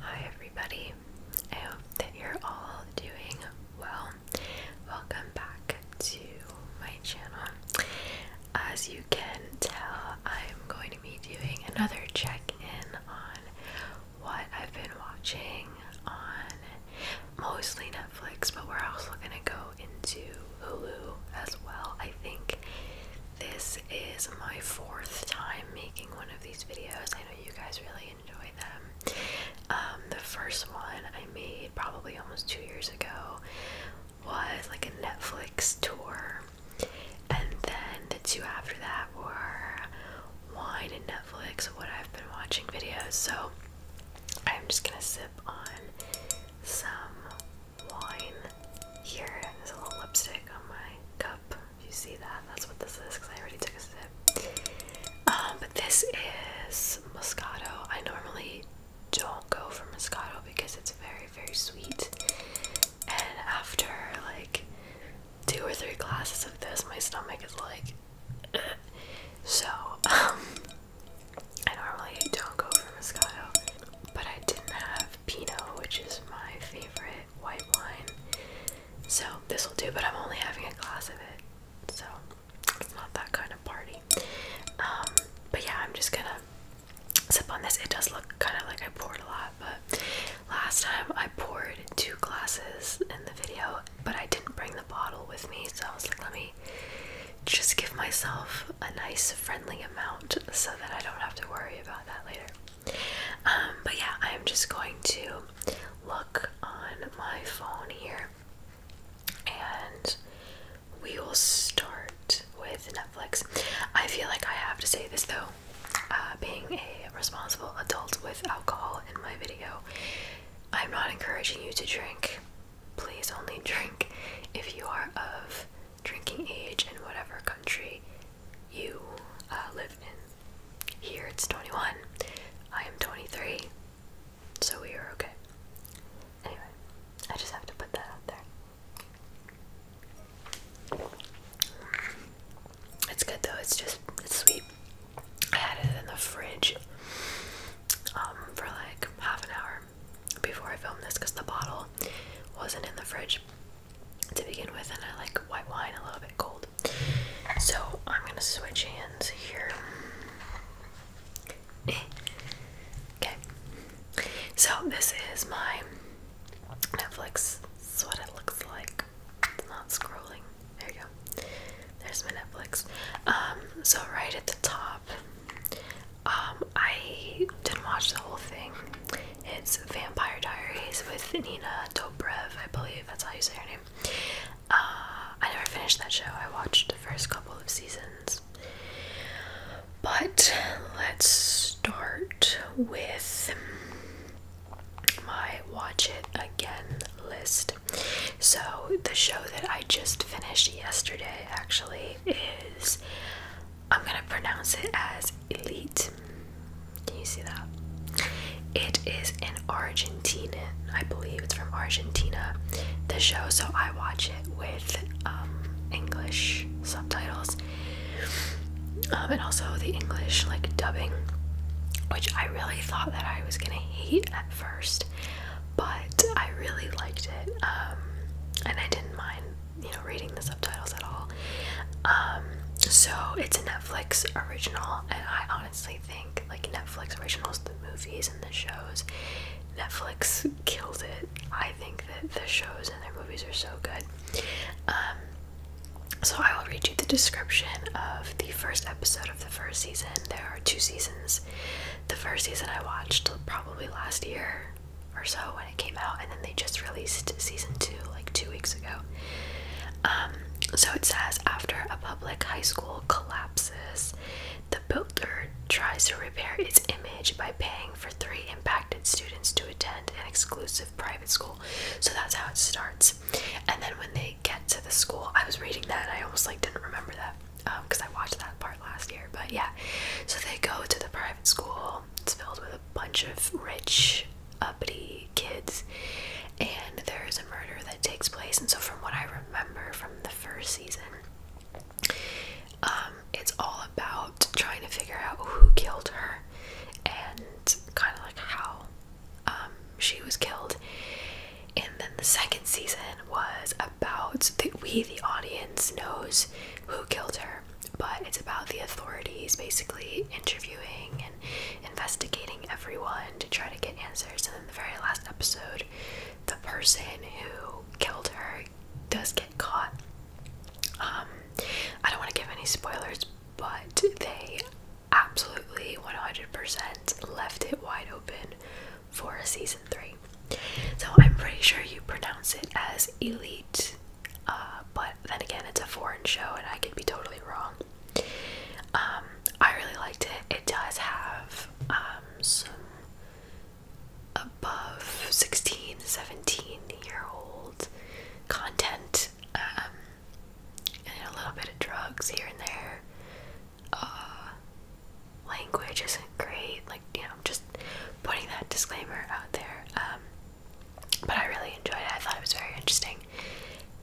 Hi, everybody. I hope that you're all doing well. Welcome back to my channel. As you can tell, I'm going to be doing another check in on what I've been watching on mostly Netflix, but we're also going to go into Hulu as well. I think this is my fourth time making one of these videos. I know you guys really enjoy them. Um, the first one I made probably almost two years ago was like a Netflix tour, and then the two after that were wine and Netflix, what I've been watching videos, so I'm just gonna sip on some wine here. There's a little lipstick on my cup. If you see that, that's what this is because I already took a sip. Um, but this is Moscato. I normally don't go for Moscato because it's very, very sweet. And after like two or three glasses of this, my stomach is like. So, um, I normally don't go for Moscato, but I didn't have Pinot, which is my favorite white wine. So, this will do, but I'm only having a glass of it. So, it's not that kind of party. Um, but yeah, I'm just gonna sip on this. It does look kind of like I poured a lot, but last time I poured two glasses in the video, but I didn't bring the bottle with me, so I was like, let me just give myself a nice friendly amount so that I don't have to worry about that later. Um, but yeah, I am just going to look on my phone here and we will start with Netflix. I feel like I have to say this though, uh, being a responsible adult with alcohol in my video, I'm not encouraging you to drink. Please only drink if you are of drinking age in whatever country you uh, live in. Here it's 21. I am 23. So we are okay. Anyway, I just have to put that out there. It's good though. It's just it's sweet. I had it in the fridge um, for like half an hour before I filmed this because the bottle wasn't in the fridge to begin with, and I like white wine a little bit cold. So I'm gonna switch hands here. Eh. okay. So this is my Netflix. is what it looks like not scrolling. There you go. There's my Netflix. Um, so right at the top, um, I didn't watch the whole thing. It's Vampire Diaries with Nina Dobrev, I believe that's how you say her name. Uh, I never finished that show. I watched the first couple of seasons. But let's start with my watch it again list. So, the show that I just finished yesterday actually is I'm gonna pronounce it as Elite. Can you see that? It is an Argentinian, I believe it's from Argentina, the show, so I watch it with um, English subtitles um, and also the English like dubbing, which I really thought that I was gonna hate at first, but I really liked it, um, and I didn't mind, you know, reading the subtitles at all. Um, so it's a Netflix original, and I honestly think like Netflix originals, the movies and the shows, Netflix killed it. I think that the shows and their movies are so good. Um, so I will read you the description of the first episode of the first season. There are two seasons. The first season I watched probably last year or so when it came out, and then they just released season two like two weeks ago. Um, so it says after a public high school collapses, the builder tries to repair its image by paying for three impacted students to attend an exclusive private school. So that's how it starts. And then when they get to the school. I was reading that I almost like didn't remember that because um, I watched that part last year. But yeah, so they go to the private school. It's filled with a bunch of rich, uppity kids, and there is a murder that takes place. And so, from what I remember from the first season, um, it's all about trying to figure out who killed her and kind of like how um, she was killed. And then the second season was about the, we, the audience, knows who killed her, but it's about the authorities basically interviewing and investigating everyone to try to get answers. And then the very last episode, the person who killed her does get caught. Um, I don't want to give any spoilers, but they absolutely 100% left it wide open for season three. So I'm pretty sure you pronounce it as elite, uh, but then again, it's a foreign show and I could be totally wrong. Um, I really liked it. It does have um, some above 16, 17 year old content. Um, and a little bit of drugs here and there. Uh, language isn't great, like you know, just putting that disclaimer out there. Um, but I really enjoyed it. I thought it was very interesting,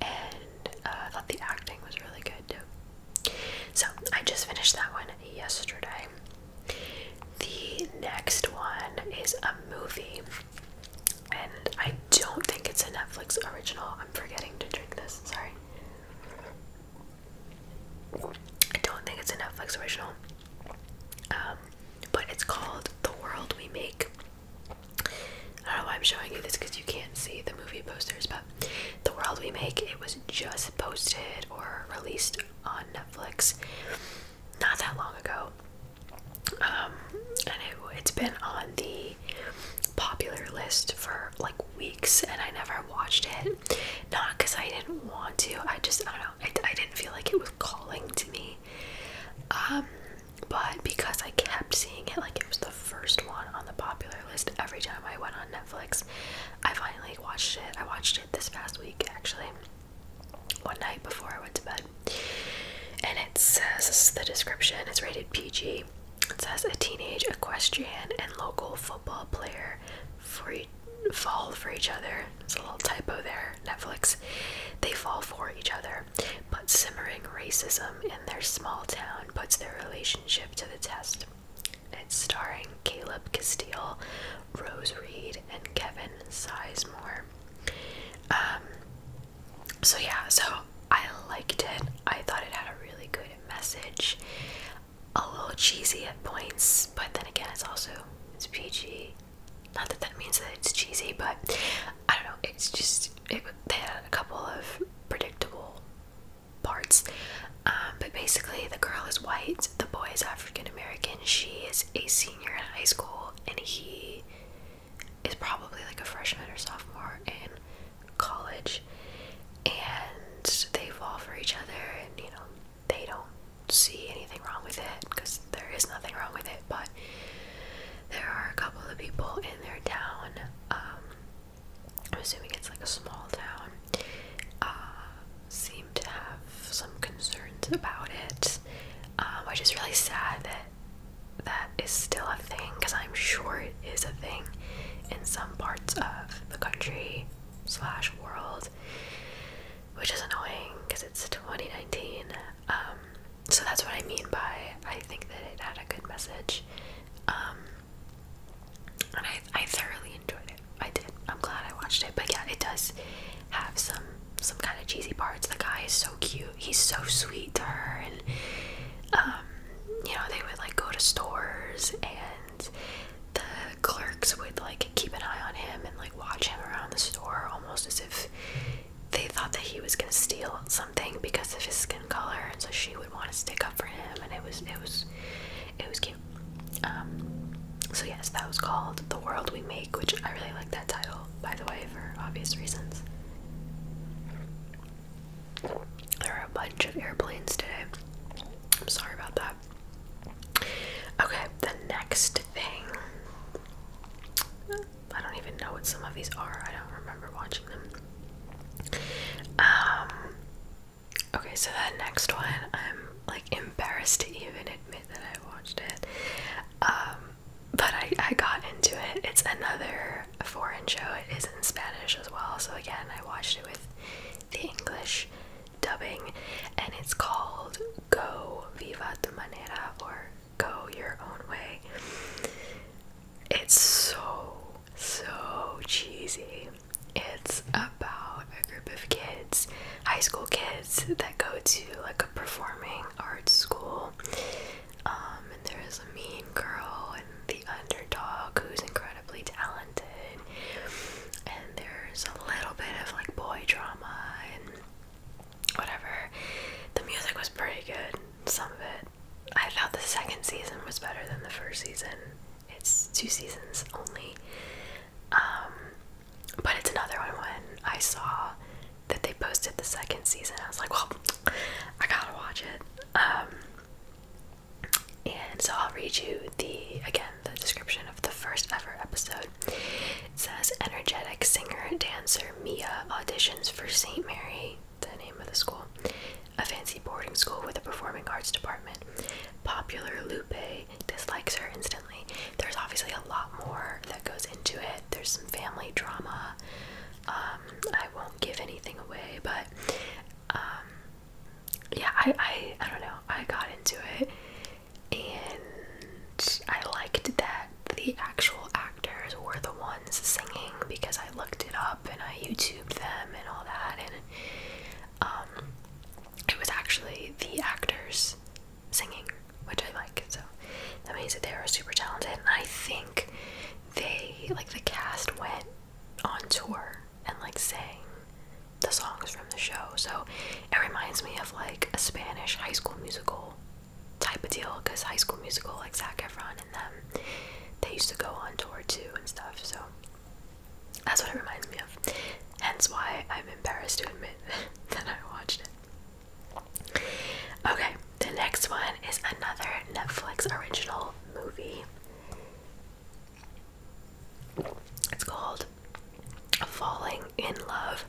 and uh, I thought the acting was really good too. So I just finished that one yesterday. The next one is a movie and I don't think it's a Netflix original. I'm forgetting to drink this. Sorry. I don't think it's a Netflix original. Um, but it's called The World We Make. I don't know why I'm showing you this because you can't see the movie posters, but The World We Make, it was just posted or released on Netflix not that long ago. Um, and it's been on the popular list for like weeks and I never watched it. Not because I didn't want to, I just, I don't know, I, didn't feel like it was calling to me. Um, but because I kept seeing it, like it was the first one on the popular list every time I went on Netflix, I finally watched it. I watched it this past week actually, one night before I went to bed. And it says, the description, it's rated PG. It says a teenage equestrian and local football player fall for each other. It's a little typo there, Netflix. They fall for each other, but simmering racism in their small town puts their relationship to the test. It's starring Caleb Castile, Rose Reed, and Kevin Sizemore. Um, so yeah, so I liked it. I thought it had a really good message. A little cheesy at points, but then again, it's also it's PG. Not that that means that it's cheesy, but I don't know. It's just it, they had a couple of predictable parts. Um, but basically, the girl is white, the boy is African American. She is a senior in high school, and he is probably like a freshman or sophomore in college and they fall for each other and you know they don't see anything wrong with it because there is nothing wrong with it but there are a couple of people in their town um, i'm assuming it's like a small town uh, seem to have some concerns about it um, which is really sad that that is still a thing because I'm sure it is a thing in some parts of the country slash world, which is annoying because it's 2019. Um, so that's what I mean by I think that it had a good message, um, and I I thoroughly enjoyed it. I did. I'm glad I watched it, but yeah, it does have some some kind of cheesy parts. The guy is so cute. He's so sweet and um, you know they would like go to stores and the clerks would like keep an eye on him and like watch him around the store almost as if they thought that he was gonna steal something because of his skin color and so she would want to stick up for him and it was it was it was cute um, so yes that was called the world we make which i really like that title by the way for obvious reasons there are a bunch of airplanes today. I'm sorry about that. Okay, the next thing. I don't even know what some of these are. I don't remember watching them. Um, okay, so that next one, I'm like embarrassed to even admit that I watched it. Um, but I, I got into it. It's another foreign show. It is in Spanish as well. So again, I watched it with the English dubbing, and it's called Go Viva Tu Manera or Go Your Own Way. It's so, so cheesy. It's about a group of kids, high school kids, that go to like a performing arts school um, and there is a mean girl and the underdog who's incredibly talented. And there's a little bit of like boy drama and whatever. The music was pretty good, some of it. I thought the second season was better than the first season. It's two seasons only. Um, but it's another one when I saw that they posted the second season. I was like, well, I gotta watch it. Um, and so I'll read you the again the description of the first ever episode. It says energetic singer dancer Mia auditions for St. Mary, the name of the school, a fancy boarding school with a performing arts department. Popular Lupe dislikes her instantly. There's obviously a lot more that goes into it. There's some family drama. Um, I won't give anything away, but um, yeah, I, I I don't know. I got into it, and I liked that the actual actors were the ones singing because I looked it up and I YouTubed them and all that, and um, it was actually the actors singing, which I like. So that means that they are super talented, and I think they like the cast went on tour and like sang the songs from the show. So it reminds me of like a Spanish high school musical type of deal because high school musical like Zac Efron and them they used to go on tour too and stuff. So that's what it reminds me of. Hence why I'm embarrassed to admit that I watched it. Okay, the next one is another Netflix original movie. It's called Falling in Love,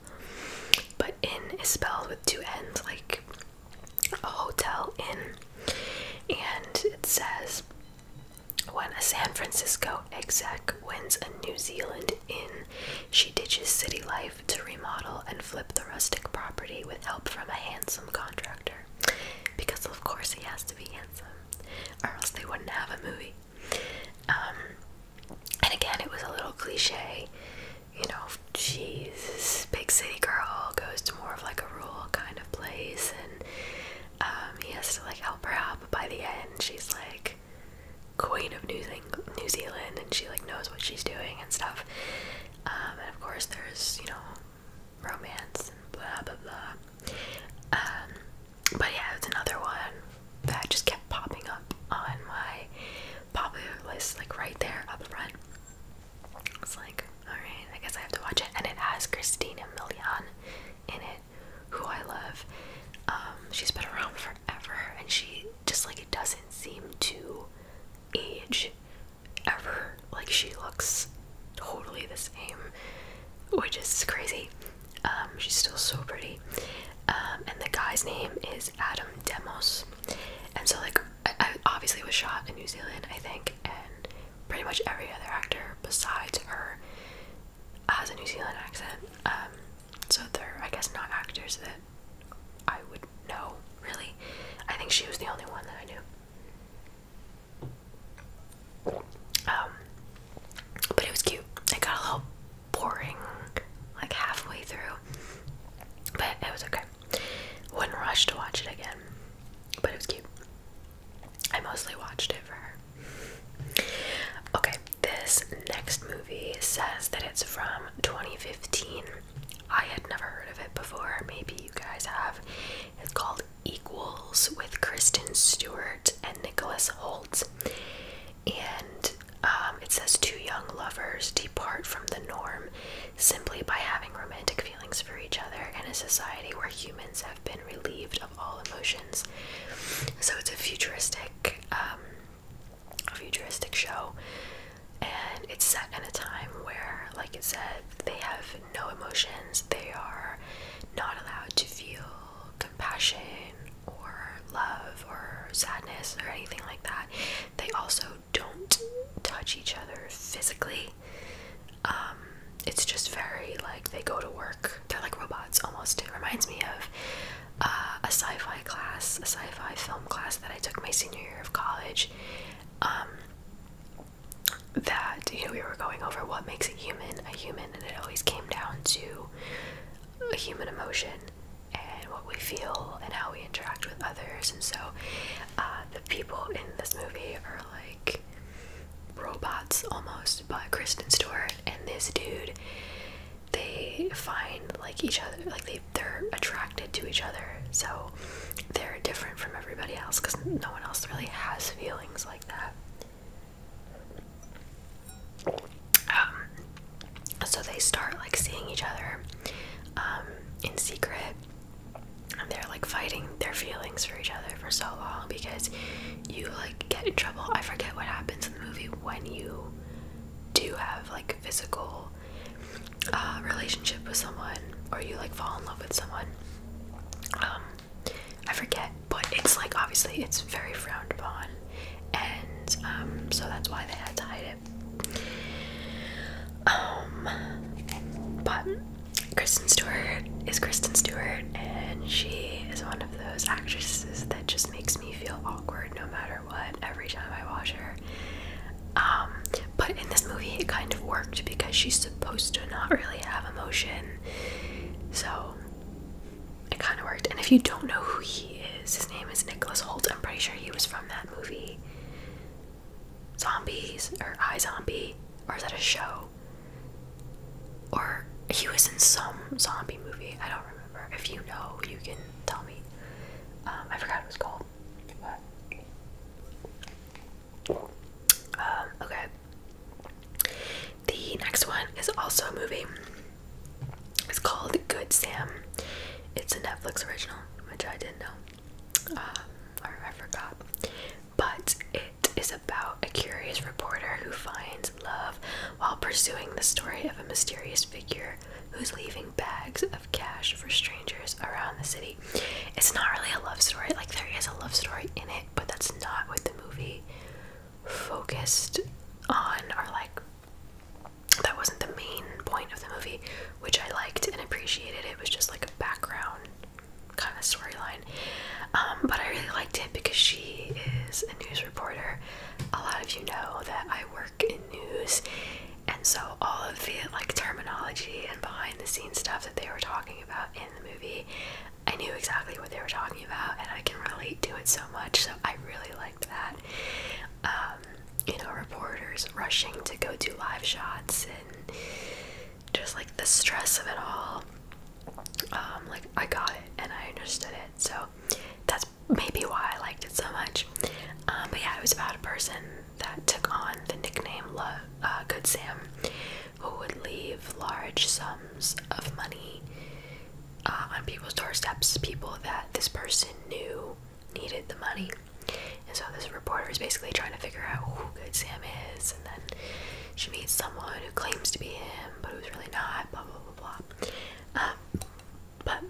but in is spelled with two N's, like a hotel in. And it says when a San Francisco exec wins a New Zealand inn, she ditches city life to remodel and flip the rustic property with help from a handsome contractor. Because, of course, he has to be handsome, or else they wouldn't have a movie. Um, and again, it was a little cliche, you know, she's big city girl, goes to more of like a rural kind of place, and um, he has to like help her out, but by the end, she's like queen of New, New Zealand, and she like knows what she's doing and stuff. Um, and of course, there's you know romance and blah blah blah. Um, but yeah, it's another one that just kept popping up on my popular list, like right there up front. It's like, alright, I guess I have to watch it. And it has Christina Milian in it, who I love. Um, she's been around forever and she just like it doesn't seem to age ever. Like she looks totally the same, which is crazy. Um, she's still so pretty. Um, and the guy's name is Adam Demos. And so like I, I obviously was shot in New Zealand, I think, and pretty much every other actor besides her has a New Zealand accent. Um, so they're I guess not actors that I would no, really? I think she was the only one that I knew. Um, but it was cute. It got a little boring, like halfway through, but it was okay. Wouldn't rush to watch it again, but it was cute. I mostly watched it for her. Okay, this next movie says that it's from 2015 I had never heard of it before. Maybe you guys have. It's called Equals with Kristen Stewart and Nicholas Holt. And um, it says two young lovers depart from the norm simply by having romantic feelings for each other in a society where humans have been relieved of all emotions. So it's a futuristic, um, futuristic show and it's set in a time where, like I said, they have no emotions, they are not allowed to feel compassion or love or sadness or anything like that. They also don't touch each other physically. Um, it's just very like they go to work, they're like robots almost. It reminds me of uh, a sci fi class, a sci fi film class that I took my senior year of college um, that you know we were going over what makes a human a human, and it always came down to a human emotion and what we feel and how we interact with others. And so uh, the people in this movie are like robots almost, but Kristen Stewart and this dude. They find like each other, like they they're attracted to each other, so they're different from everybody else because no one else really has feelings like that. Um, so they start like seeing each other um, in secret, and they're like fighting their feelings for each other for so long because you like get in trouble. I forget what happens in the movie when you do have like physical uh, relationship with someone or you like fall in love with someone um, i forget but it's like obviously it's very frowned upon and um, so that's why they had to hide it um, but kristen stewart is kristen stewart and she is one of those actresses that just makes me feel awkward no matter what every time i watch her um, but in this movie, it kind of worked because she's supposed to not really have emotion. So it kind of worked. And if you don't know who he is, his name is Nicholas Holt. I'm pretty sure he was from that movie Zombies or I Zombie, or is that a show? Or he was in some zombie movie. I don't remember. If you know, you can tell me. Um, I forgot what it was called. Um, okay. The next one is also a movie. It's called Good Sam. It's a Netflix original, which I didn't know, um, or I forgot. But it is about a curious reporter who finds love while pursuing the story of a mysterious figure who's leaving bags of cash for strangers around the city it's not really a love story. Like there is a love story in it, but that's not what the movie focused on or like that wasn't the main point of the movie, which I liked and appreciated. It was just like a background kind of storyline. Um, but I really liked it because she is a news reporter. A lot of you know that I work in news and so all of the like terminology and behind the scenes stuff that they were talking about in the movie I knew exactly what they were talking about and I can relate to it so much so I really liked that um, you know reporters rushing to go do live shots and just like the stress of it all um, like I got it and I understood it so that's maybe why I liked it so much um, but yeah it was about a person that took on the nickname uh, Good Sam, who would leave large sums of money uh, on people's doorsteps, people that this person knew needed the money. And so this reporter is basically trying to figure out who Good Sam is, and then she meets someone who claims to be him, but who's really not, blah, blah, blah, blah. Um, but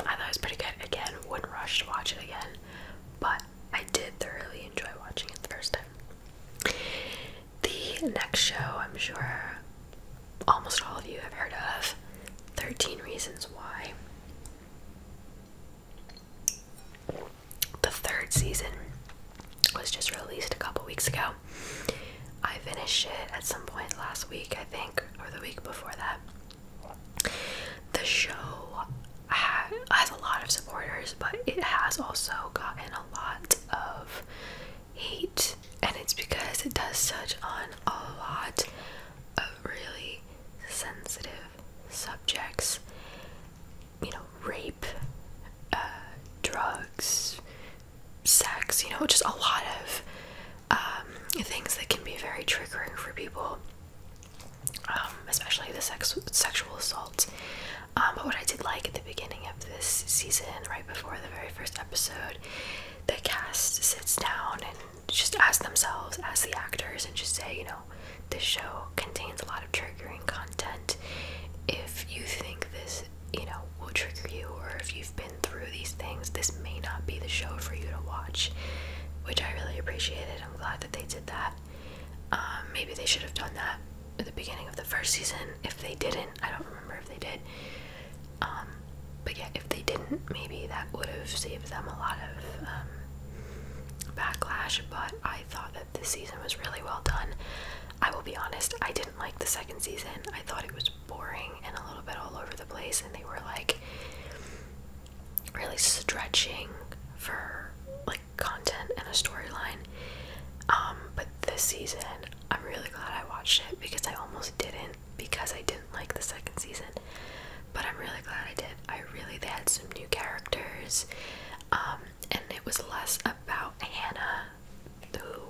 I thought it was pretty good. Again, wouldn't rush to watch it again, but I did thoroughly enjoy watching it the first time. The next show, I'm sure almost all of you have heard of 13 Reasons Why. The third season was just released a couple weeks ago. I finished it at some point last week, I think, or the week before that. The show has a lot of supporters, but it has also gotten a lot of hate, and it's because it does touch on a lot of really sensitive subjects you know, rape, uh, drugs, sex, you know, just a lot of um, things that can be very triggering for people. Um, especially the sex sexual assault. Um, but what I did like at the beginning of this season, right before the very first episode, the cast sits down and just asks themselves, as the actors, and just say, you know, this show contains a lot of triggering content. If you think this, you know, will trigger you, or if you've been through these things, this may not be the show for you to watch which I really appreciated. I'm glad that they did that. Um, maybe they should have done that at the beginning of the first season. If they didn't, I don't remember if they did. Um, but yeah, if they didn't, maybe that would have saved them a lot of um, backlash. But I thought that this season was really well done. I will be honest, I didn't like the second season. I thought it was boring and a little bit all over the place, and they were like really stretching for like content and a storyline. Um, but this season, I'm really glad I watched it because I almost didn't because I didn't like the second season. But I'm really glad I did. I really they had some new characters, um, and it was less about Hannah, who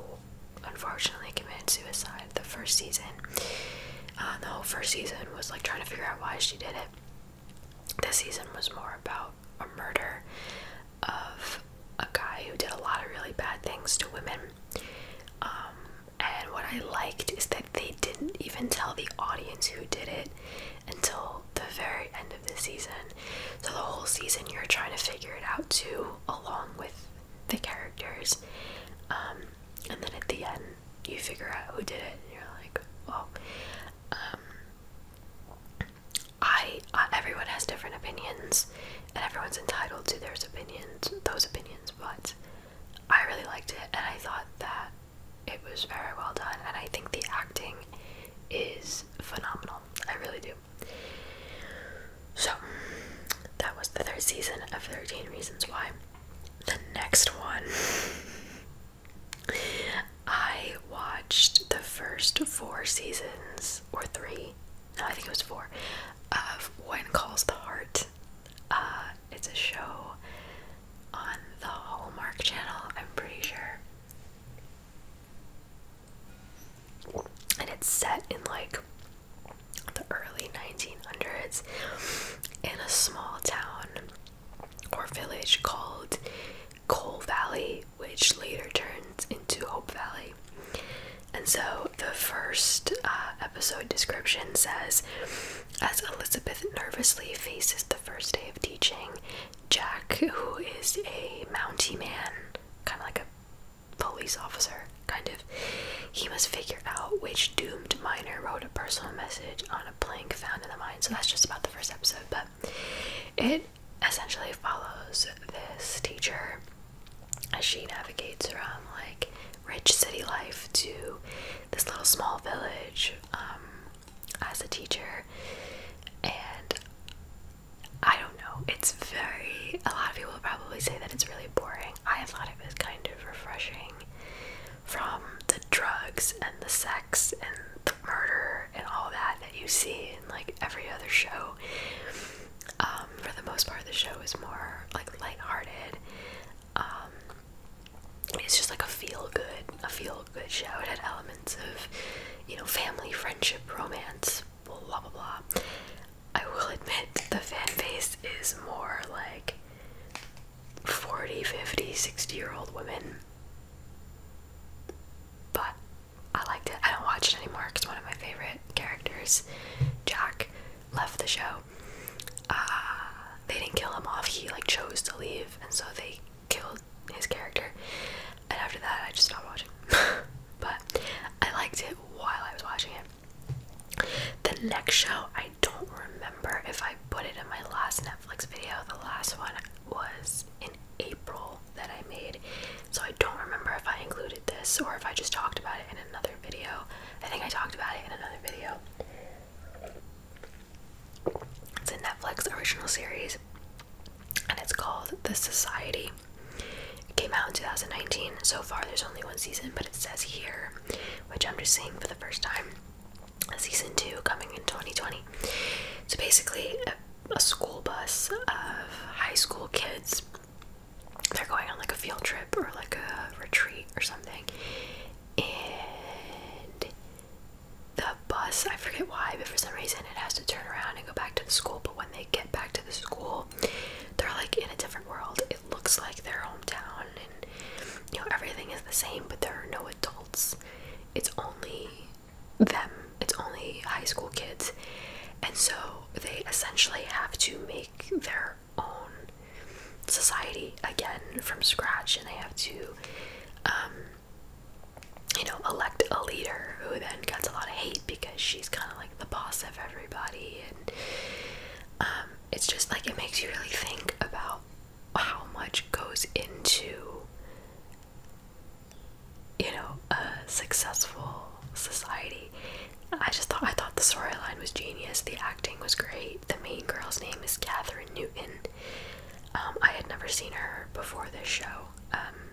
unfortunately committed suicide the first season. Uh, the whole first season was like trying to figure out why she did it. This season was more about a murder of a guy who did a lot of really bad things to women. Um, and what I liked is that they didn't even tell the audience who did it until the very end of the season. So the whole season you're trying to figure it out too, along with the characters. Um, and then at the end, you figure out who did it and you're like oh i uh, everyone has different opinions and everyone's entitled to their opinions those opinions but i really liked it and i thought that it was very well done and i think the acting is phenomenal i really do so that was the third season of 13 reasons why the next one. I watched the first four seasons, or three, no, I think it was four, of "When Calls the Heart. Uh, it's a show on the Hallmark Channel, I'm pretty sure. And it's set in like the early 1900s in a small town or village called Coal Valley, which later turns into Hope Valley. And so the first uh, episode description says As Elizabeth nervously faces the first day of teaching, Jack, who is a Mountie man, kind of like a police officer, kind of." He must figure out which doomed miner wrote a personal message on a plank found in the mine. So that's just about the first episode, but it essentially follows this teacher as she navigates from like rich city life to this little small village um, as a teacher. And I don't know, it's very, a lot of people probably say that it's really boring. I thought it was kind of refreshing from the drugs and the sex and the murder and all that that you see in like every other show. Um, for the most part, the show is more like lighthearted. Um, it's just like a feel good, a feel good show. It had elements of, you know, family, friendship, romance, blah blah blah. blah. I will admit the fan base is more like 40, 50, 60 year old women. But I liked it. I don't watch it anymore because one of my favorite characters, Jack, left the show. Uh, they didn't kill him off, he like chose to leave, and so they killed his character. And after that, I just stopped watching. but I liked it while I was watching it. The next show, I don't remember if I put it in my last Netflix video. The last one was in April that I made, so I don't remember if I included this or if I just talked about it in another video. I think I talked about it in another video. It's a Netflix original series and it's called The Society. It came out in 2019. So far, there's only one season, but it says here which I'm just seeing for the first time. Season two coming in 2020. So basically, a, a school bus of high school kids. They're going on like a field trip or like a retreat or something, and the bus. I forget why, but for some reason, it has to turn around and go back to the school. But when they get back to the school, they're like in a different world it looks like their hometown and you know everything is the same but there are no adults it's only them it's only high school kids and so they essentially have to make their own society again from scratch and they have to um, you know elect a leader who then gets a lot of hate because she's kind of like the boss of everybody and um, it's just like it makes you really think about how much goes into you know a successful society. I just thought I thought the storyline was genius. The acting was great. The main girl's name is Catherine Newton. Um, I had never seen her before this show, um,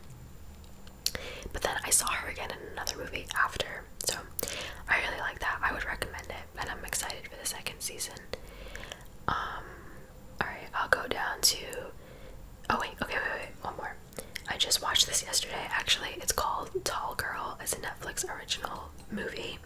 but then I saw her again in another movie after so I really like that. I would recommend it, and I'm excited for the second season. Um, alright, I'll go down to. Oh, wait, okay, wait, wait, one more. I just watched this yesterday, actually. It's called Tall Girl, it's a Netflix original movie.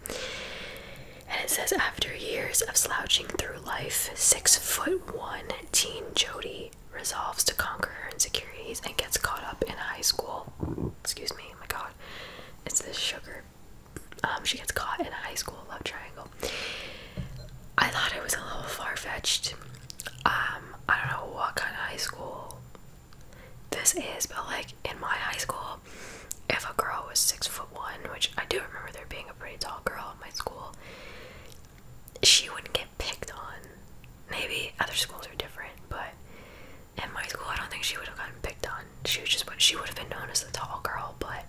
And it says after years of slouching through life, six foot one teen Jody resolves to conquer her insecurities and gets caught up in high school. Excuse me, oh my god. It's this sugar um, she gets caught in a high school love triangle. I thought it was a little far fetched. Um, I don't know what kind of high school this is, but like in my high school, if a girl was six foot one, which I do remember there being a pretty tall girl at my school, she wouldn't get picked on. Maybe other schools are different, but in my school, I don't think she would have gotten picked on. She was just she would have been known as the tall girl, but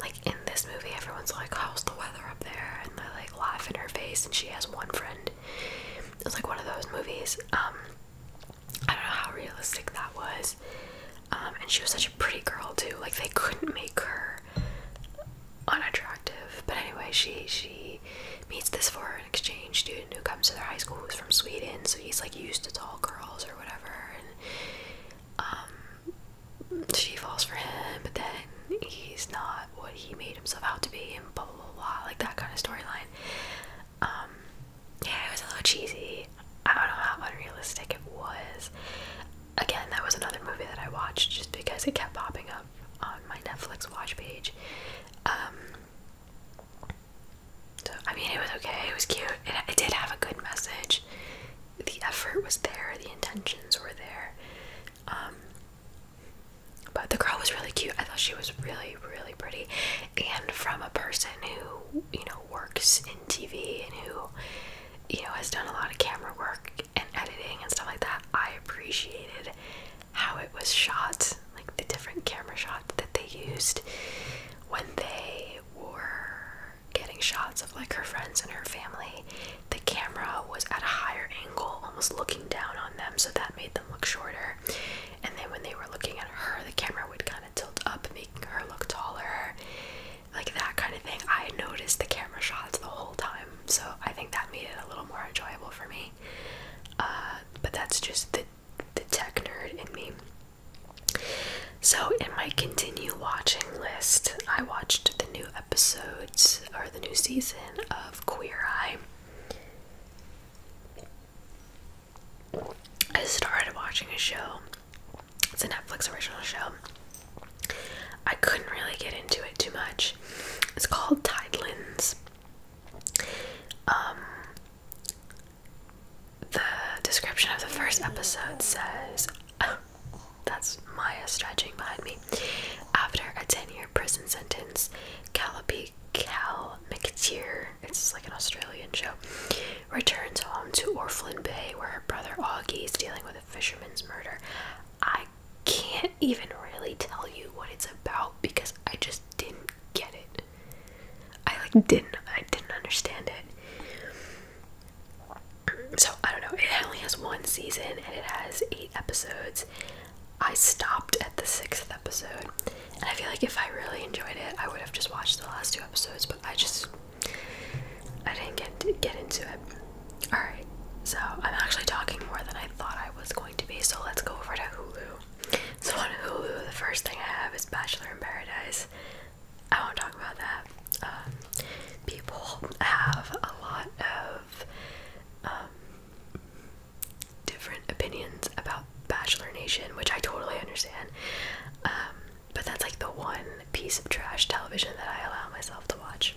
like in this movie, everyone's like, "How's the weather up there?" and they like laugh in her face, and she has one friend. It's like one of those movies. Um, I don't know how realistic that was. Um, and she was such a pretty girl too. Like they couldn't make her unattractive. But anyway, she she meets this foreign exchange student who comes to their high school who's from Sweden he's like used to tall girls or whatever and um, she falls for him but then he's not what he made himself out to be and blah blah blah, like that kind of storyline um, yeah it was a little cheesy i don't know how unrealistic it was again that was another movie that i watched just because it kept popping up on my netflix watch page um, so I mean, it was okay. It was cute. It, did have a good message. The effort was there. The intentions were there. Um, but the girl was really cute. I thought she was really, really pretty. And from a person who you know works in TV and who you know has done a lot of camera work and editing and stuff like that, I appreciated how it was shot like the different camera shots that they used when they were getting shots of like her friends and her family. The camera was at a higher angle, almost looking down on them, so that made them look shorter. And then when they were looking at her, the camera would kind of tilt up, making her look taller. Like that kind of thing. I noticed the camera shots the whole time, so I think that made it a little more enjoyable for me. Uh, but that's just the the tech nerd in me. So, in my continue watching list, I watched the new episodes or the new season of Queer Eye. I started watching a show, it's a Netflix original show. I couldn't really get into it too much. It's called Tidelands. Um, the description of the first episode says that's Maya stretching behind me. After a 10 year prison sentence, Calliope Cal McTeer, it's like an Australian show, returns home to Orphan Bay where her brother Augie is dealing with a fisherman's murder. I can't even really tell you what it's about because I just didn't get it. I like didn't I didn't understand it. So I don't know. It only has one season and it has eight episodes. I stopped at the sixth episode, and I feel like if I really enjoyed it, I would have just watched the last two episodes. But I just I didn't get get into it. All right. So I'm actually talking more than I thought I was going to be. So let's go over to Hulu. So on Hulu, the first thing I have is Bachelor in Paradise. I won't talk about that. Um, people have a lot of um, different opinions about Bachelor Nation, which I totally understand. Um, but that's like the one piece of trash television that I allow myself to watch.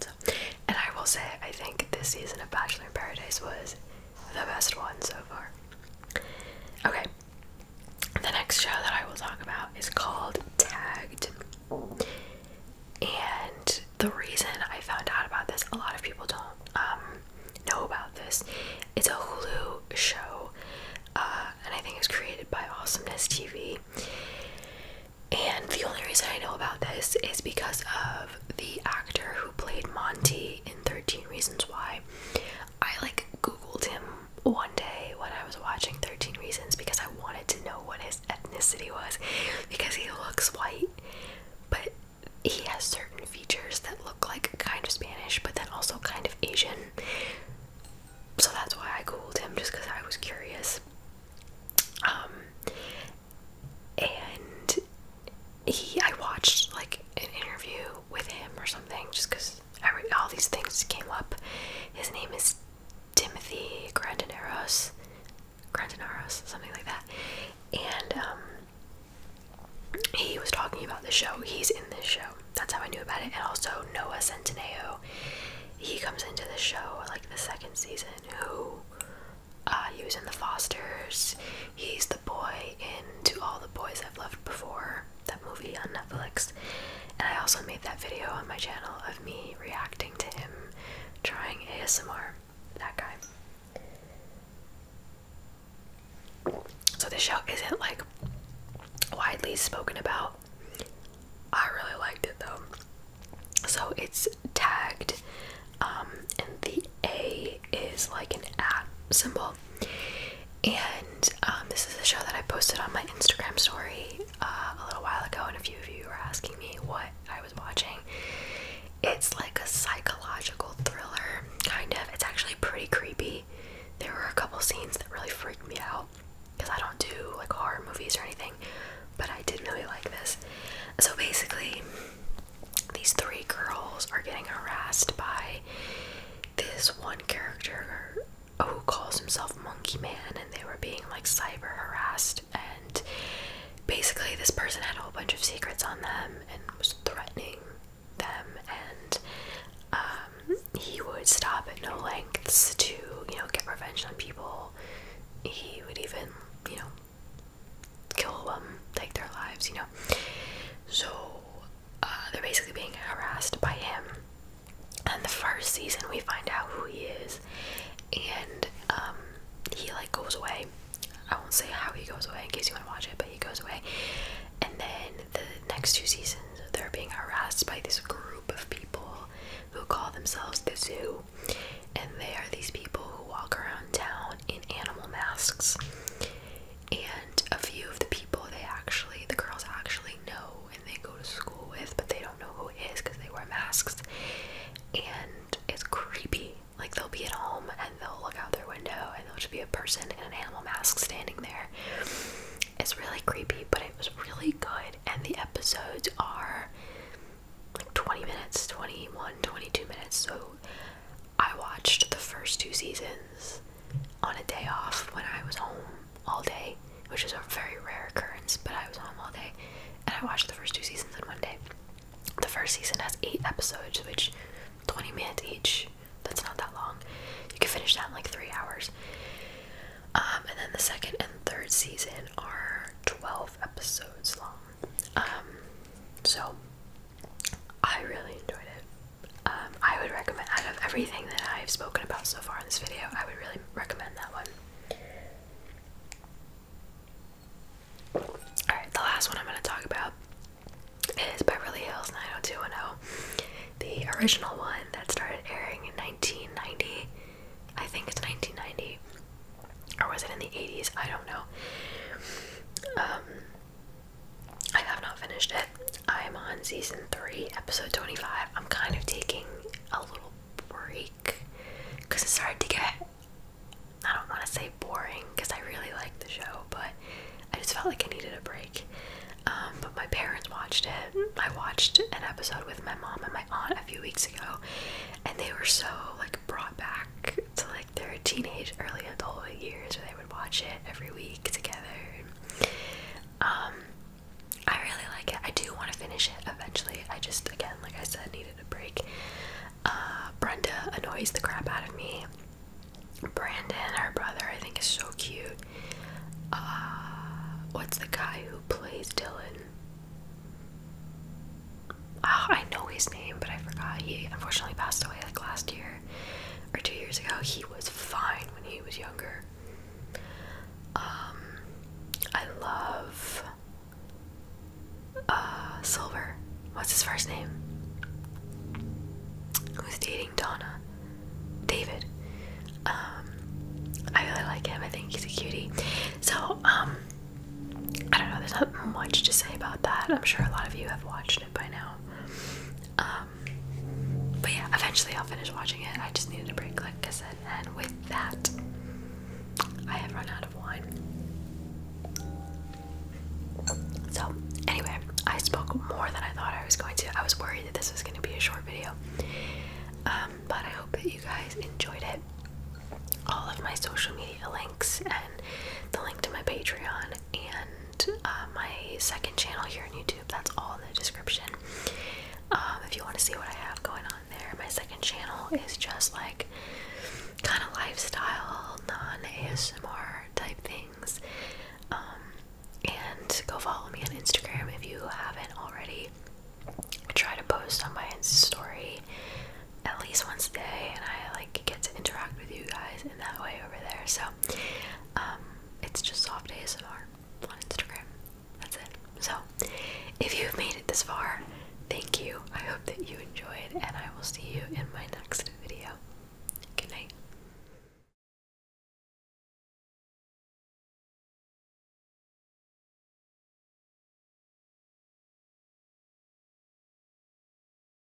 So, and I will say, I think this season of Bachelor in Paradise was the best one so far. Okay, the next show that I will talk about is called Tagged. And the reason I found out about this, a lot of people don't um, know about this. It's a Hulu show, uh, and I think it's created by Awesomeness TV. And the only reason I know about this is because of the actor who played Monty in 13 Reasons Why. I like Googled him one day when I was watching 13 Reasons because I wanted to know what his ethnicity was because he looks white, but he has certain features that look like kind of Spanish but then also kind of Asian. So that's why I Googled him just because I was curious. Um, and he I watched like an interview with him or something just because all these things came up. His name is Timothy Grandineros, Grandineros something like that, and um, he was talking about the show. He's in this show. That's how I knew about it. And also Noah Centineo, he comes into the show like the second season. Who uh, he was in the Fosters. He's the boy into All the Boys I've Loved Before, that movie on Netflix. And I also made that video on my channel of me reacting to him trying ASMR. That guy. So this show isn't like widely spoken about. I really liked it though. So it's tagged um, in the a is like an at symbol. And um, this is a show that I posted on my Instagram story uh, a little while ago, and a few of you were asking me what I was watching. It's like a psychological thriller, kind of. It's actually pretty creepy. There were a couple scenes that really freaked me out because I don't do like horror movies or anything, but I did really like this. So basically, these three girls are getting harassed by this one character who calls himself Monkey Man, and they were being like cyber harassed. And basically, this person had a whole bunch of secrets on them and was threatening them. And um, he would stop at no lengths to, you know, get revenge on people. He would even, you know, kill them, take their lives, you know. So uh, they're basically being harassed by him. And the first season, we find out who he is, and um, he like goes away. I won't say how he goes away in case you want to watch it, but he goes away. And then the next two seasons, they're being harassed by this group of people who call themselves the zoo. And they are these people who walk around town in animal masks and a few of the people they actually the girls actually know and they go to school with but they don't know who it is because they wear masks and it's creepy like they'll be at home and they'll look out their window and there'll just be a person in an animal mask standing there it's really creepy but it was really good and the episodes are like 20 minutes 21 22 minutes so I watched the first two seasons on a day off when I was home all day, which is a very rare occurrence, but I was home all day and I watched the first two seasons in one day. The first season has eight episodes, which 20 minutes each. That's not that long. You can finish that in like three hours. Um, and then the second and third season are 12 episodes long. Um, so I really enjoyed it. Um, I would recommend out of everything that I've spoken about so far in this video, I would really recommend that one. Alright, the last one I'm going to talk about is Beverly Hills 90210. The original one that started airing in 1990. I think it's 1990. Or was it in the 80s? I don't know. Um, I have not finished it. I'm on season 3, episode 25. I'm kind of taking a little break because it started to get, I don't want to say boring because I really like the show, but I just felt like I needed a break. Um, but my parents watched it. I watched an episode with my mom and my aunt a few weeks ago, and they were so like brought back to like their teenage, early adult years where they would watch it every week together. Um, I really like it. I do want to finish it eventually. I just, again, like I said, needed a break. Uh, Brenda annoys the crap out of me. Brenda and her brother, I think is so cute. Uh, what's the guy who plays Dylan? Oh, I know his name, but I forgot. He unfortunately passed away like last year or two years ago. He was fine when he was younger. Um, I love uh, Silver. What's his first name? Who's dating Donna? David. Um, I really like him. I think he's a cutie. So, um, I don't know. There's not much to say about that. I'm sure a lot of you have watched by now. Um, but yeah, eventually I'll finish watching it. I just needed a break, like I said. And with that, I have run out of wine. So, anyway, I spoke more than I thought I was going to. I was worried that this was going to be a short video. Um, but I hope that you guys enjoyed it. All of my social media links and the link to my Patreon and uh, my second channel here on YouTube. That's all in the description. Um, if you want to see what I have going on there, my second channel is just like kind of lifestyle, non ASMR type things. Um, and go follow me on Instagram if you haven't already. try to post on my story at least once a day, and I like get to interact with you guys that way over there. So um, it's just soft ASMR on Instagram. That's it. So if you've made it this far, thank you. I hope that you enjoyed, and I will see you in my next video. Good night.